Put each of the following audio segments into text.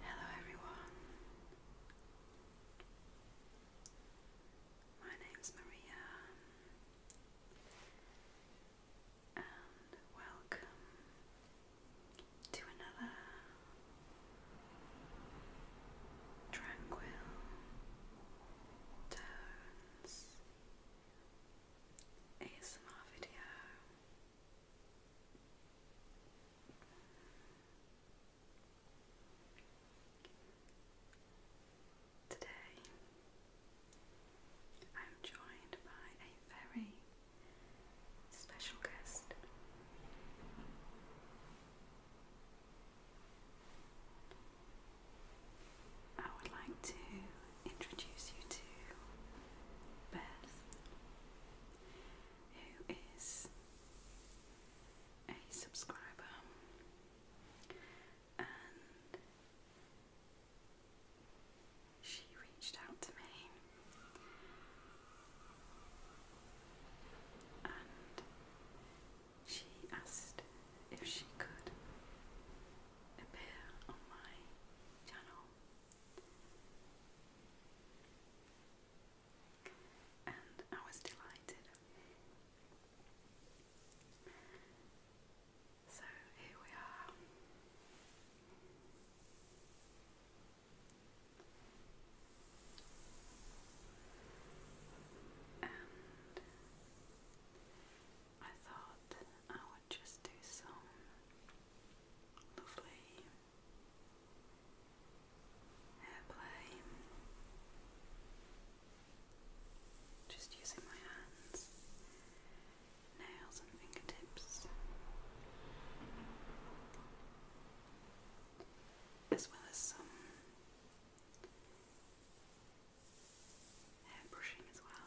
Hello, everyone. My name's Maria, and welcome to another tranquil tones ASMR video. Today I'm joined by a very special guest. I would like to introduce you to Beth who is a subscriber and she reached out to me and she asked if she could appear on my channel and I was delighted. So here we are. And I thought I would just do some lovely airplane, just using my hands, nails and fingertips, as well as some hair brushing as well.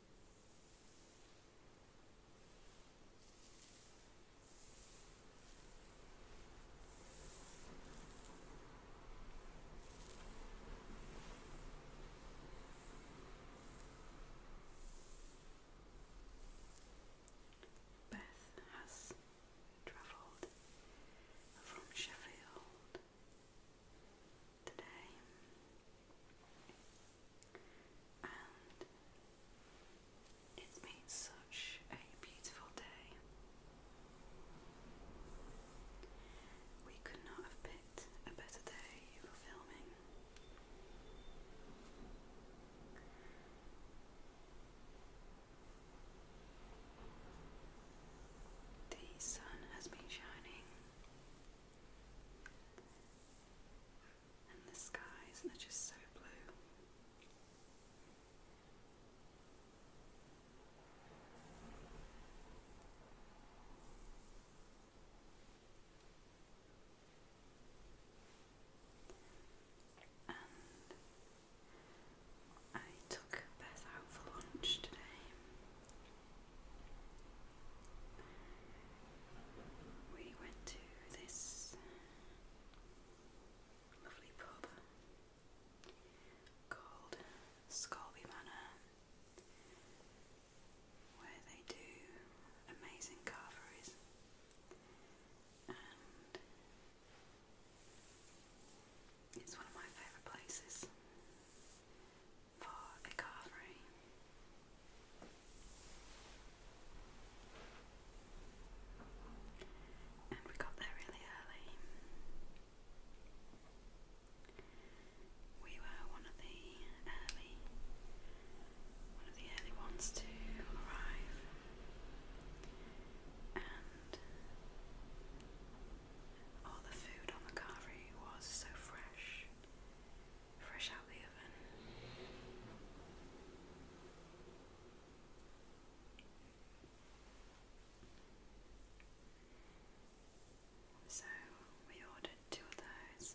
Beth has travelled from Sheffield today it's been such a beautiful day. We could not have picked a better day for filming. The sun has been shining and the skies, and they're just so blue. And I took Beth out for lunch today we went to this lovely pub called Scalby Manor, where they do amazing carveries it's one of my favourite places for a carvery. And we got there really early. We were one of the early one of the early ones to arrive and all the food on the carvery was so fresh fresh out the oven. So we ordered two of those,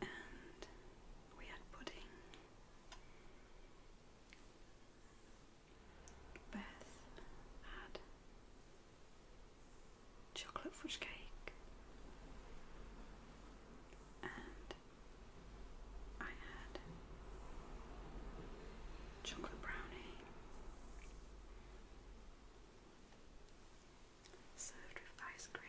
and we had pudding. Beth had chocolate fruit cake, and I had chocolate brownie served with ice cream.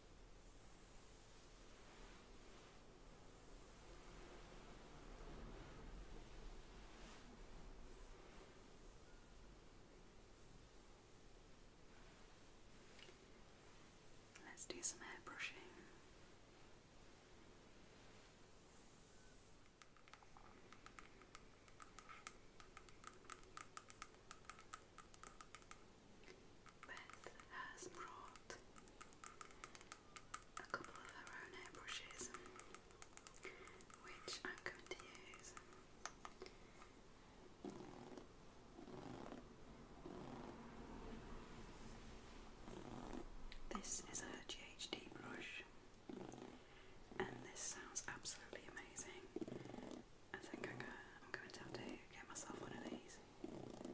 Let's do some hair brushing. Beth has brought a couple of her own airbrushes, which I'm going to use. This is a GHD brush, and this sounds absolutely amazing. I think I am going to get myself one of these.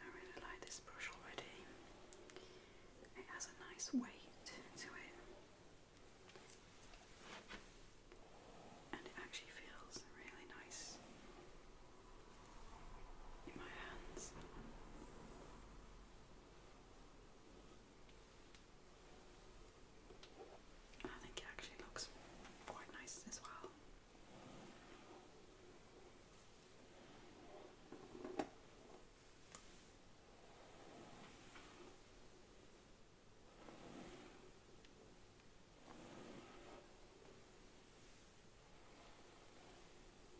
I really like this brush already. It has a nice weight to it. And it actually feels really nice in my hands. I think it actually looks quite nice as well.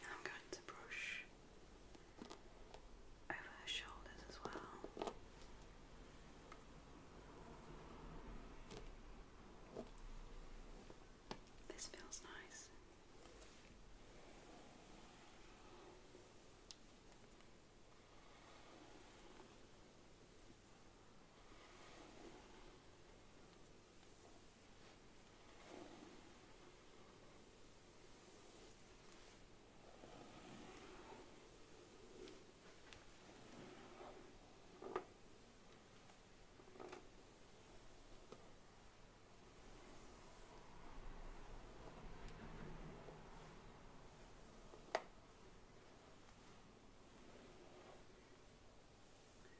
And I'm going to brush over her shoulders as well. This feels nice.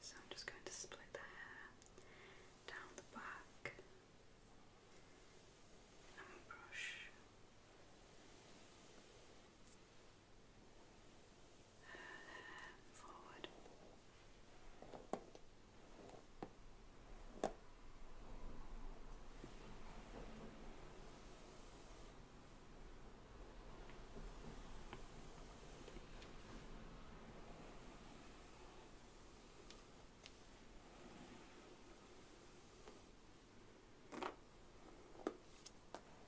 So I'm just going to split the hair down the back and brush forward. Good.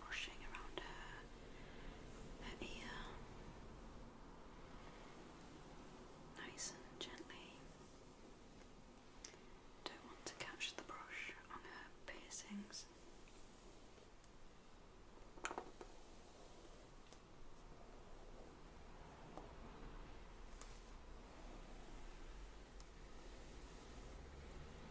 brushing around her, her ear, nice and gently. Don't want to catch the brush on her piercings.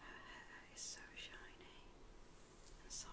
Her hair is so shiny and soft.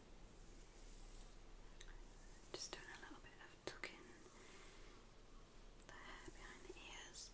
Just doing a little bit of tucking the hair behind the ears.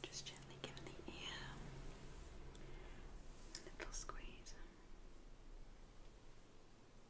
Just gently give the ear a little squeeze.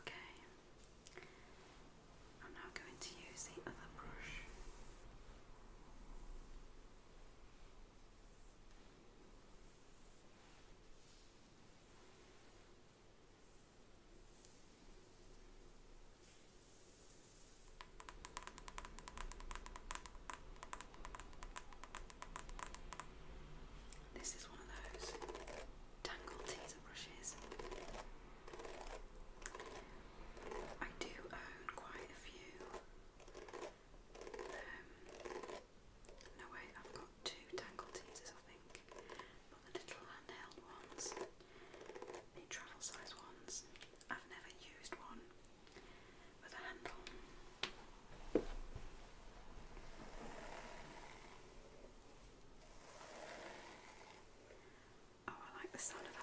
Okay, I'm now going to use the other brush. This is one of those tangled teaser brushes. I do own quite a few. Um, no wait, I've got two tangled teasers I think, but the little handheld ones, the travel size ones, I've never used one with a handle. Oh, I like the sound of that already.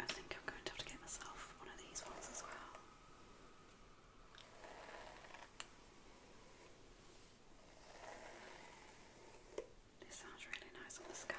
I think I'm going to have to get myself one of these ones as well. This sounds really nice on the scalp.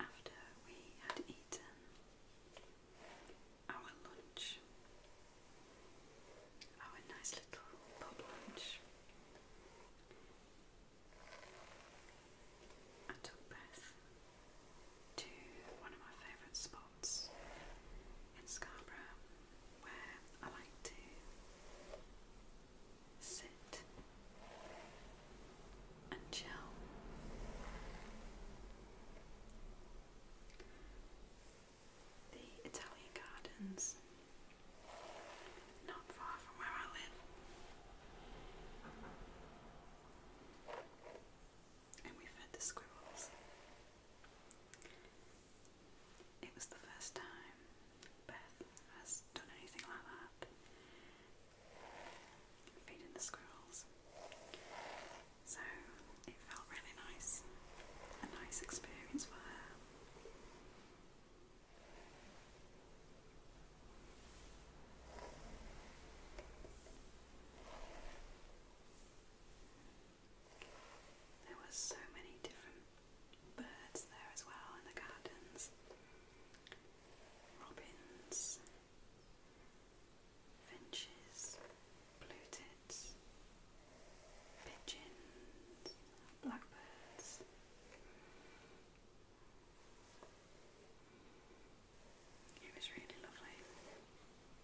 After we had eaten our lunch, our nice little pub lunch, I took Beth to one of my favourite spots in Scarborough where I like to sit and chill. The Italian Gardens, not far from where I live, and we fed the squirrels. It was the first time Beth has done anything like that. Feeding the squirrels. So it felt really nice. A nice experience for her. There were so many different birds there as well in the gardens robins, finches, blue tits, pigeons, blackbirds. It was really lovely.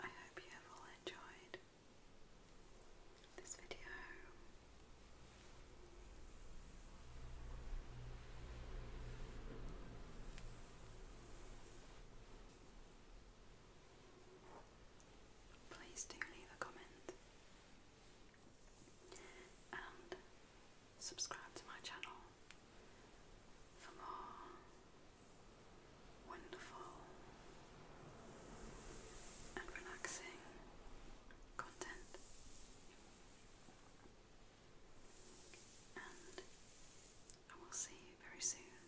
I hope you have all enjoyed this video. Please do leave a comment and subscribe to my channel for more wonderful and relaxing content. And I will see you very soon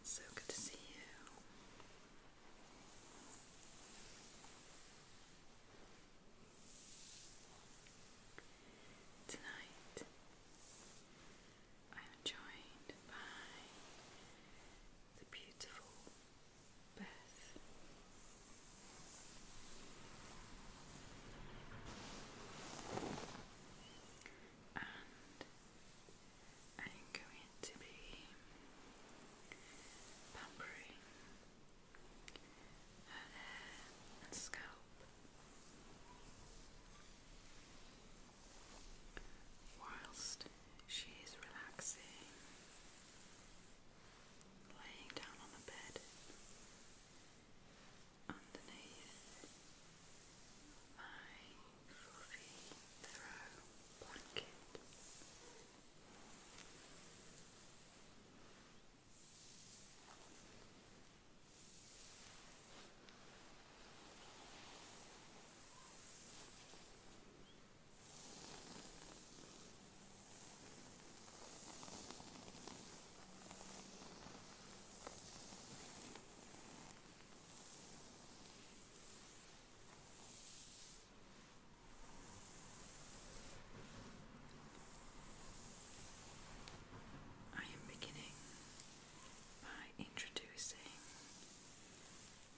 It's so good to see you. Tonight I am joined by the beautiful Beth and I'm going to be pampering her hair and scalp whilst she is relaxing, laying down on the bed underneath my fluffy throw blanket. I am beginning by introducing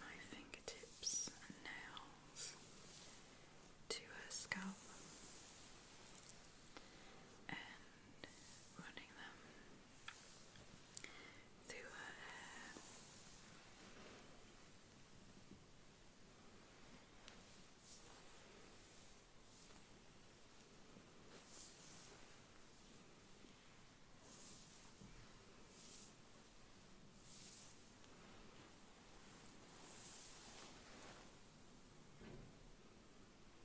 my fingertips and nails to her scalp running them through her hair.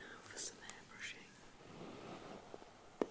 Now for some hair brushing. Now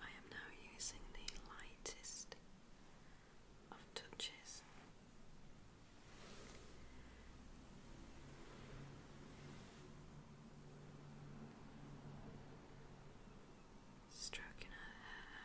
I am now using the lightest of touches. Stroking her hair.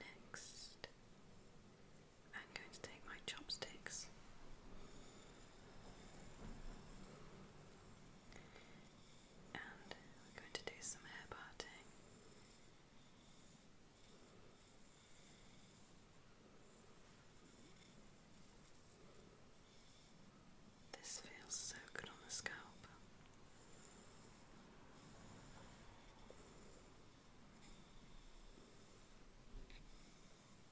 Next, I'm going to take my chopsticks and we're going to do some hair parting. This feels so good on the scalp.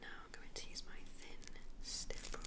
Now I'm going to use my thin stiff brush.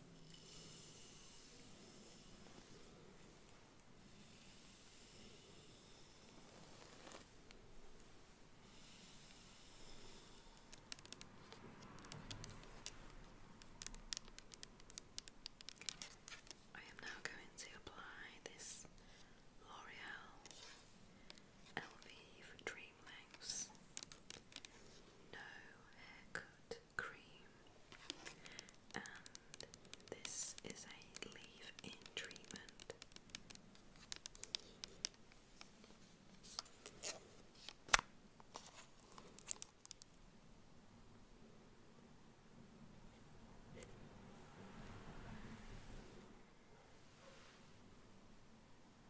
I am now going to apply this L'Oreal Elvive Dream Lengths No Haircut cream, and this is a leave in treatment.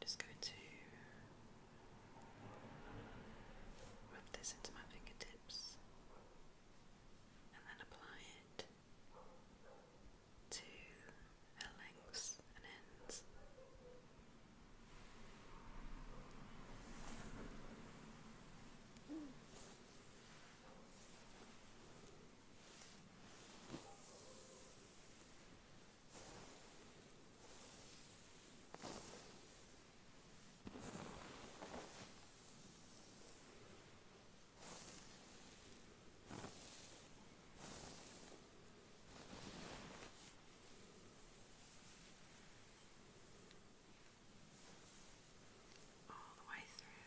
Just going to Rub this into my fingertips and then apply it to her lengths and ends all the way through.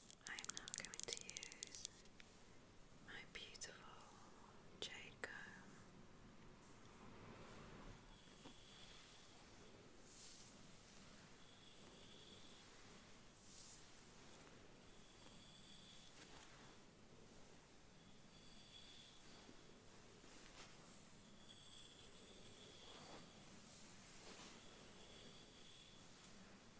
I am now going to use my beautiful jade comb.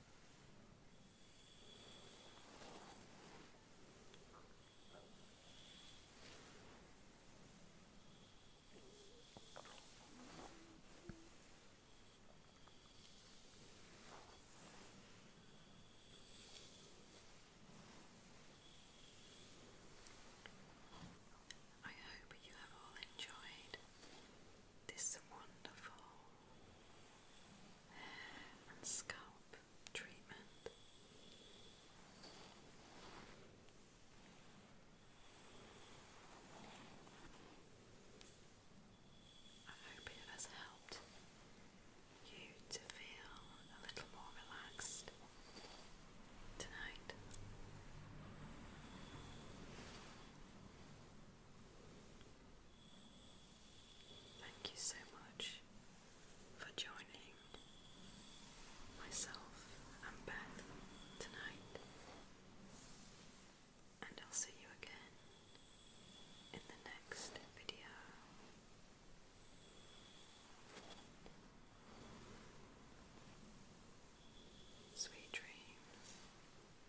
I hope you have all enjoyed this wonderful scalp treatment. I hope it has helped you to feel a little more relaxed tonight. Thank you so much for joining myself and Beth tonight, and I'll see you again in the next video. Sweet dreams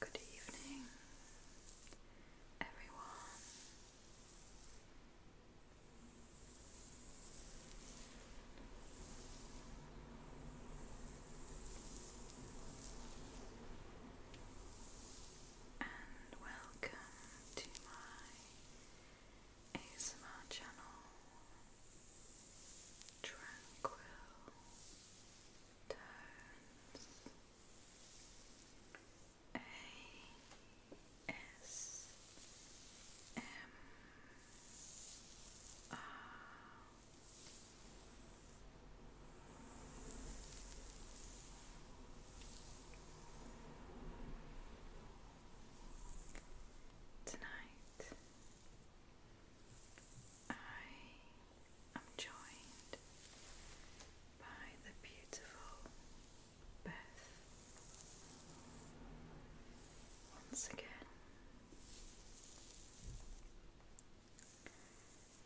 Good evening, everyone. And welcome to my ASMR channel Tranquil Tones ASMR Tonight I am joined by the beautiful Beth once again.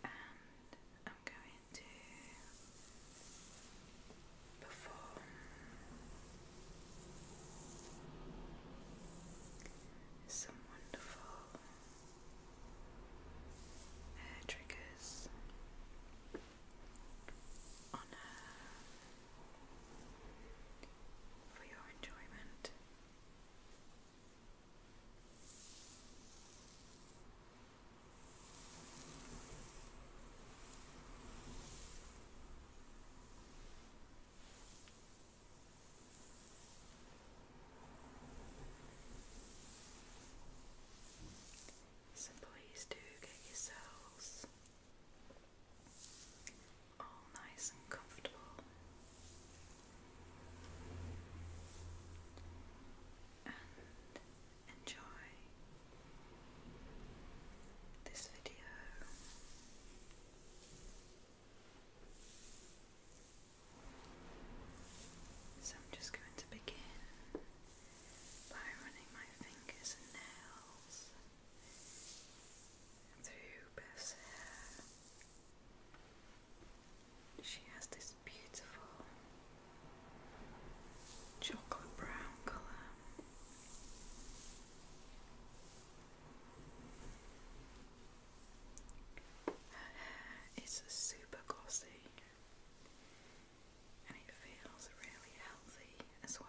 And I'm going to before. Some wonderful hair triggers on her for your enjoyment. So please do get yourselves all nice and comfortable and enjoy this video. So I'm just going to begin by running my fingers and nails through Beth's hair. She has this beautiful chocolate brown colour. Her hair is super glossy and it feels really healthy as well.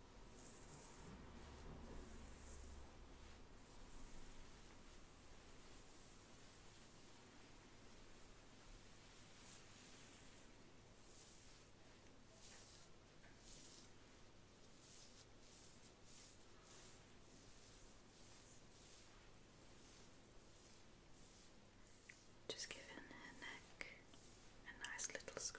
Just giving her neck a nice little scratching.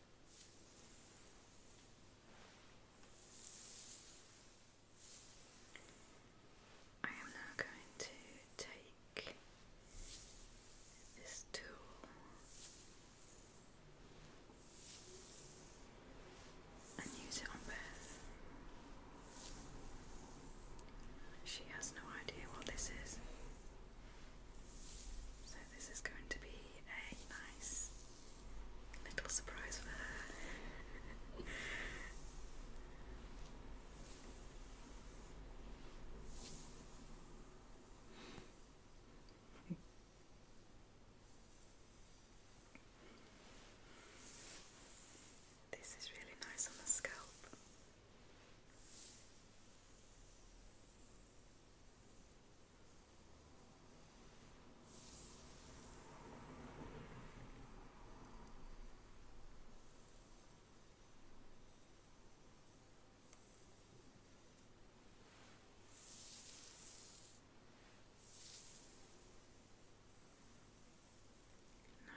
I am now going to take this tool and use it on Beth. She has no idea what this is. So, this is going to be a nice little surprise for her. This is really nice on the scalp.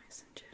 Nice and gentle.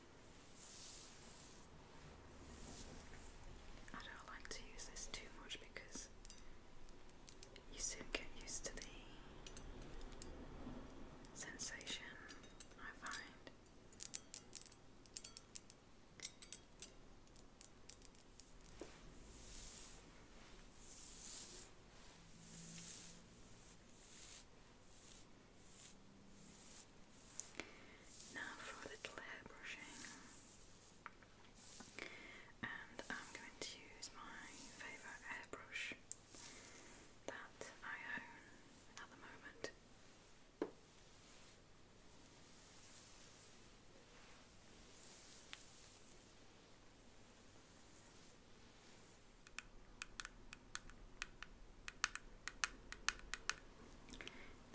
I don't like to use this too much because you soon get used to the sensation, I find. Now for a little hair brushing. And I'm going to use my favourite airbrush that I own at moment.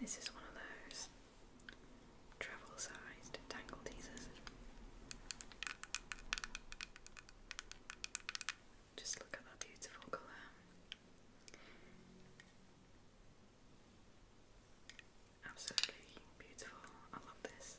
This is one of those travel sized tangle teasers. Just look at that beautiful colour. Absolutely beautiful. I love this.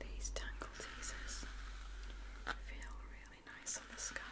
These tangle teasers feel really nice on the scalp.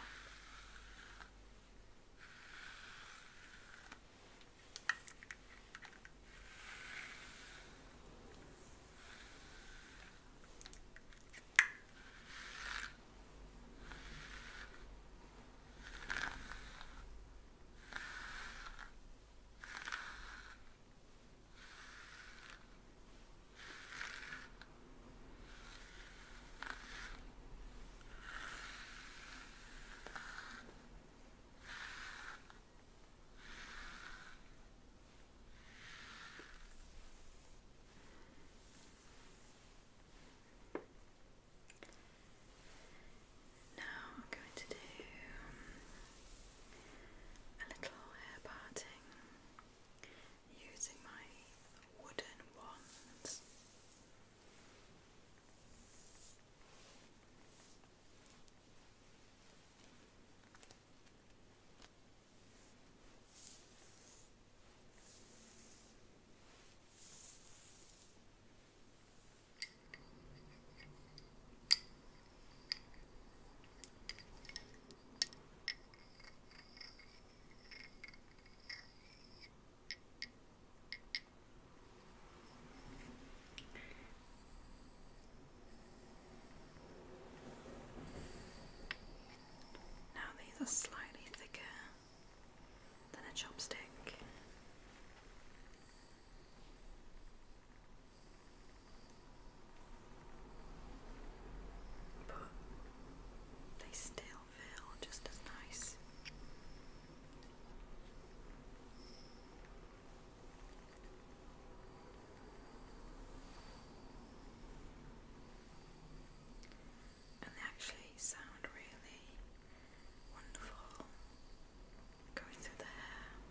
Now I'm going to do a little hair parting using my wooden wands. Now these are slightly thicker than a chopstick. But they still feel just as nice. And they actually sound really wonderful going through the hair.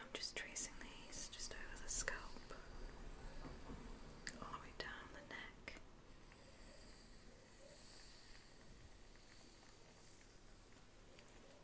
I'm just tracing these just over the scalp, all the way down the neck.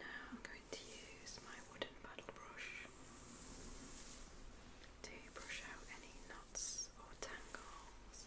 Now I'm going to use my wooden paddle brush to brush out any knots or tangles.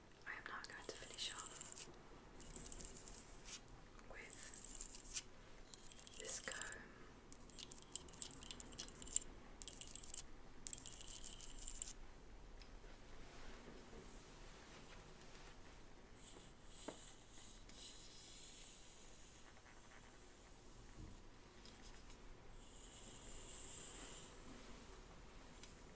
I am now going to finish off with this comb.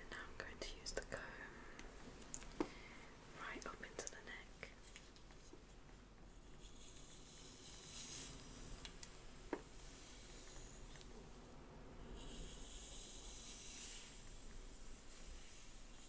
And now I'm going to use the comb right up into the neck.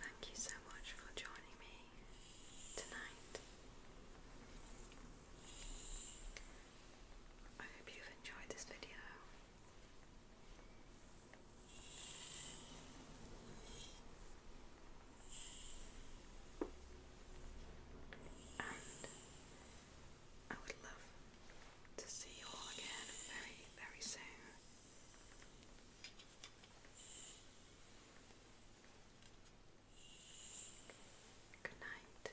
Thank you so much for joining me tonight. I hope you've enjoyed this video. And I would love to see you all again very, very soon. Good night.